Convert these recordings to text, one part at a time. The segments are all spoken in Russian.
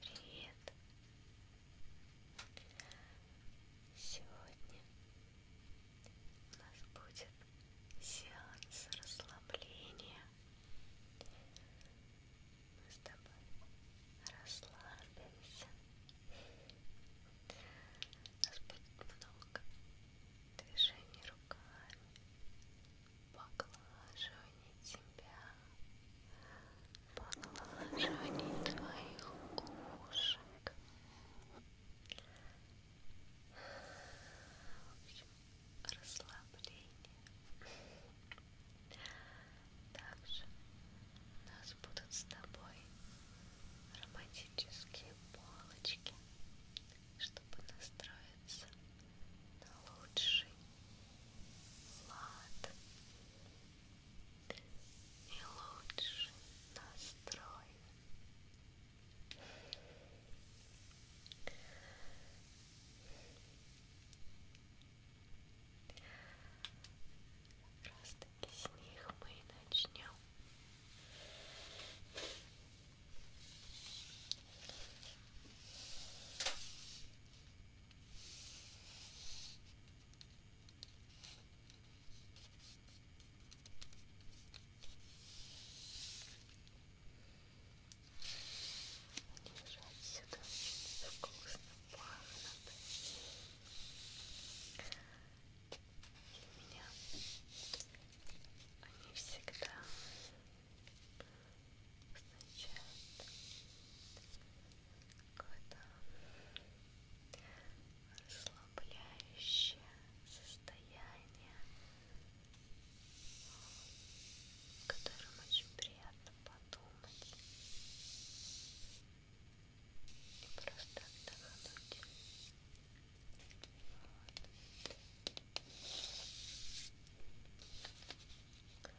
Привет! Сегодня у нас будет сеанс расслабления. Мы с тобой расслабимся. У нас будет много движений рук руками поглаживание тебя, поглаживание твоих ушек. Расслабление. Также у нас будут с тобой романтические полочки, чтобы настроиться на лучший лад и лучший настрой. Как раз таки с них мы и начнем. Держать сюда очень вкусно пахнет. И меня они всегда означает какое-то расслабляющее состояние, о котором очень приятно подумать и просто отдохнуть. Вот.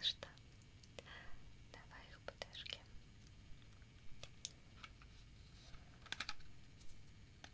Ну что, давай их подожгем.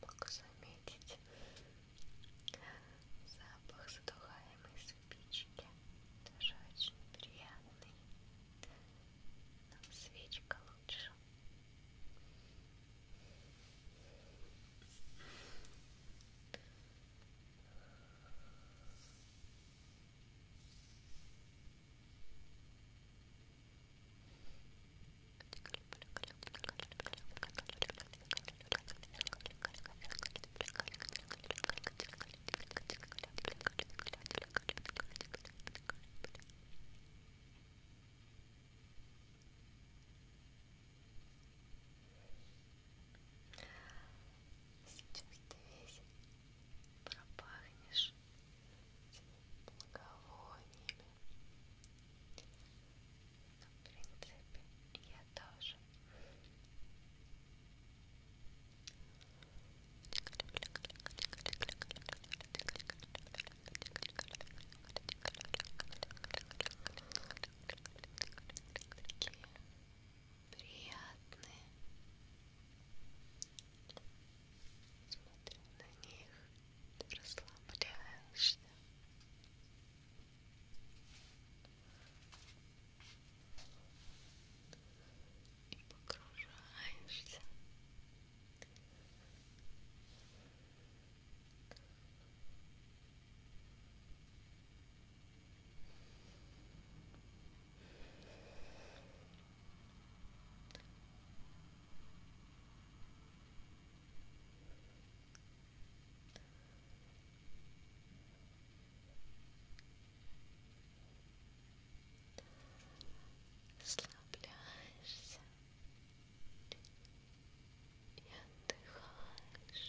Мог заметить запах задухаемой спички, тоже очень приятный, но свечка лучше. Итак, Сейчас ты весь пропахнешь благовониями, но, в принципе, я тоже Такие приятные Смотрю на них расслабляешься. И погружаешься расслабляешься и отдыхаешь.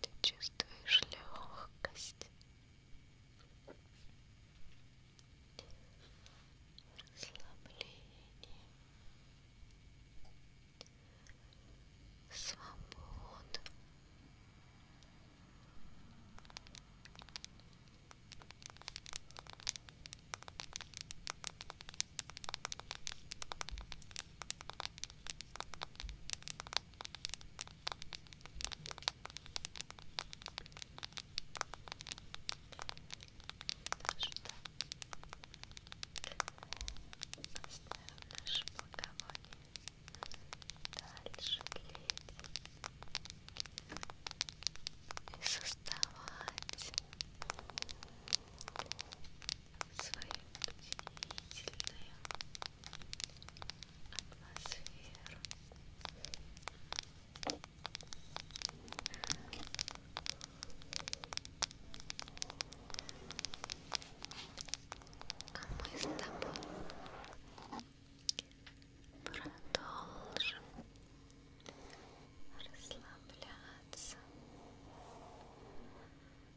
Ты чувствуешь легкость расслабление, свобода. Даже так. Оставим наше благовоние. Дальше клеить. И создавать свои удивительные атмосферу. А мы с тобой продолжим расслабляться,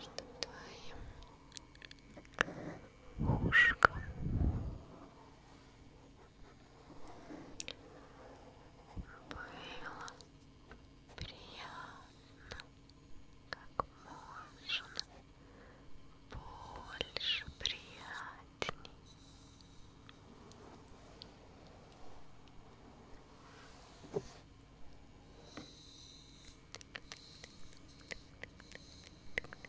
Чтоб твоим ушкам было приятно как можно больше приятней. Теперь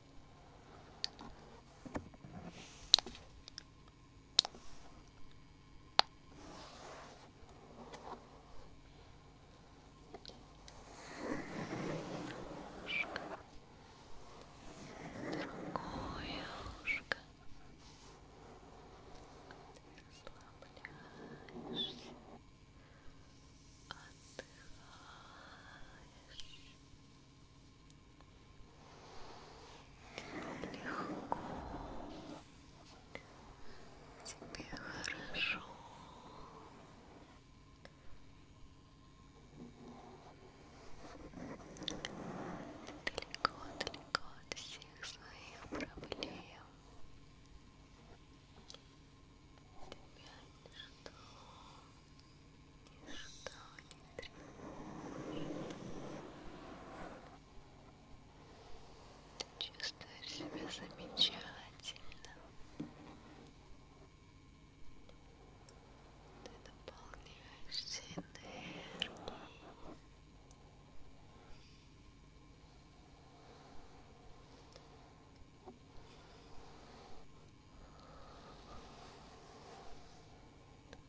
Другое ушко. Расслабляешься. Отдыхаешь. Расслабляешься легко, тебе хорошо. Далеко, далеко от всех своих проблем. Тебя ничто Ничто не тревожит. Ты чувствуешь себя замечательно. Ты наполняешься энергией.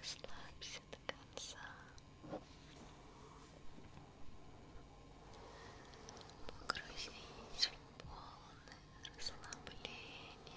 Расслабься до конца. Погрузись в полное расслабление. Расслабление.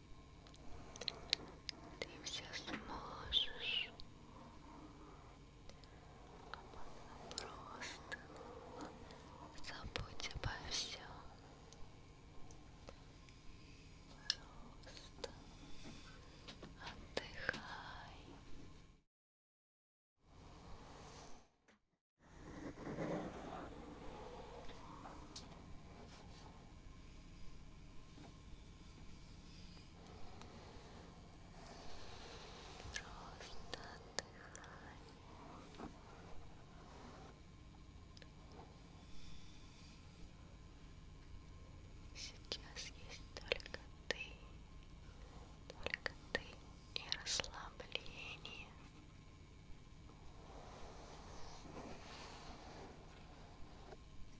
Ты все сможешь. Просто забудь обо всем. Просто отдыхай. Ты Просто отдыхай. Сейчас есть только ты, только ты и расслабление.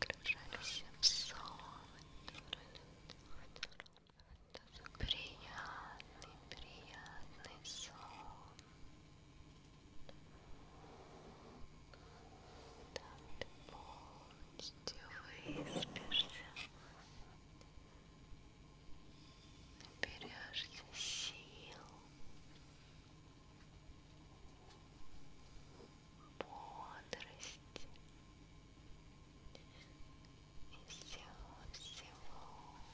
погружались в сон. Это приятный, приятный сон. Там ты полностью выспишься наберешься сил, бодрости и всего-всего. Дыхай,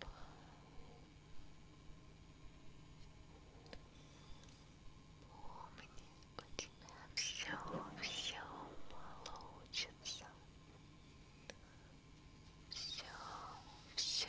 Помни, у тебя все, все получится. Все, все. Все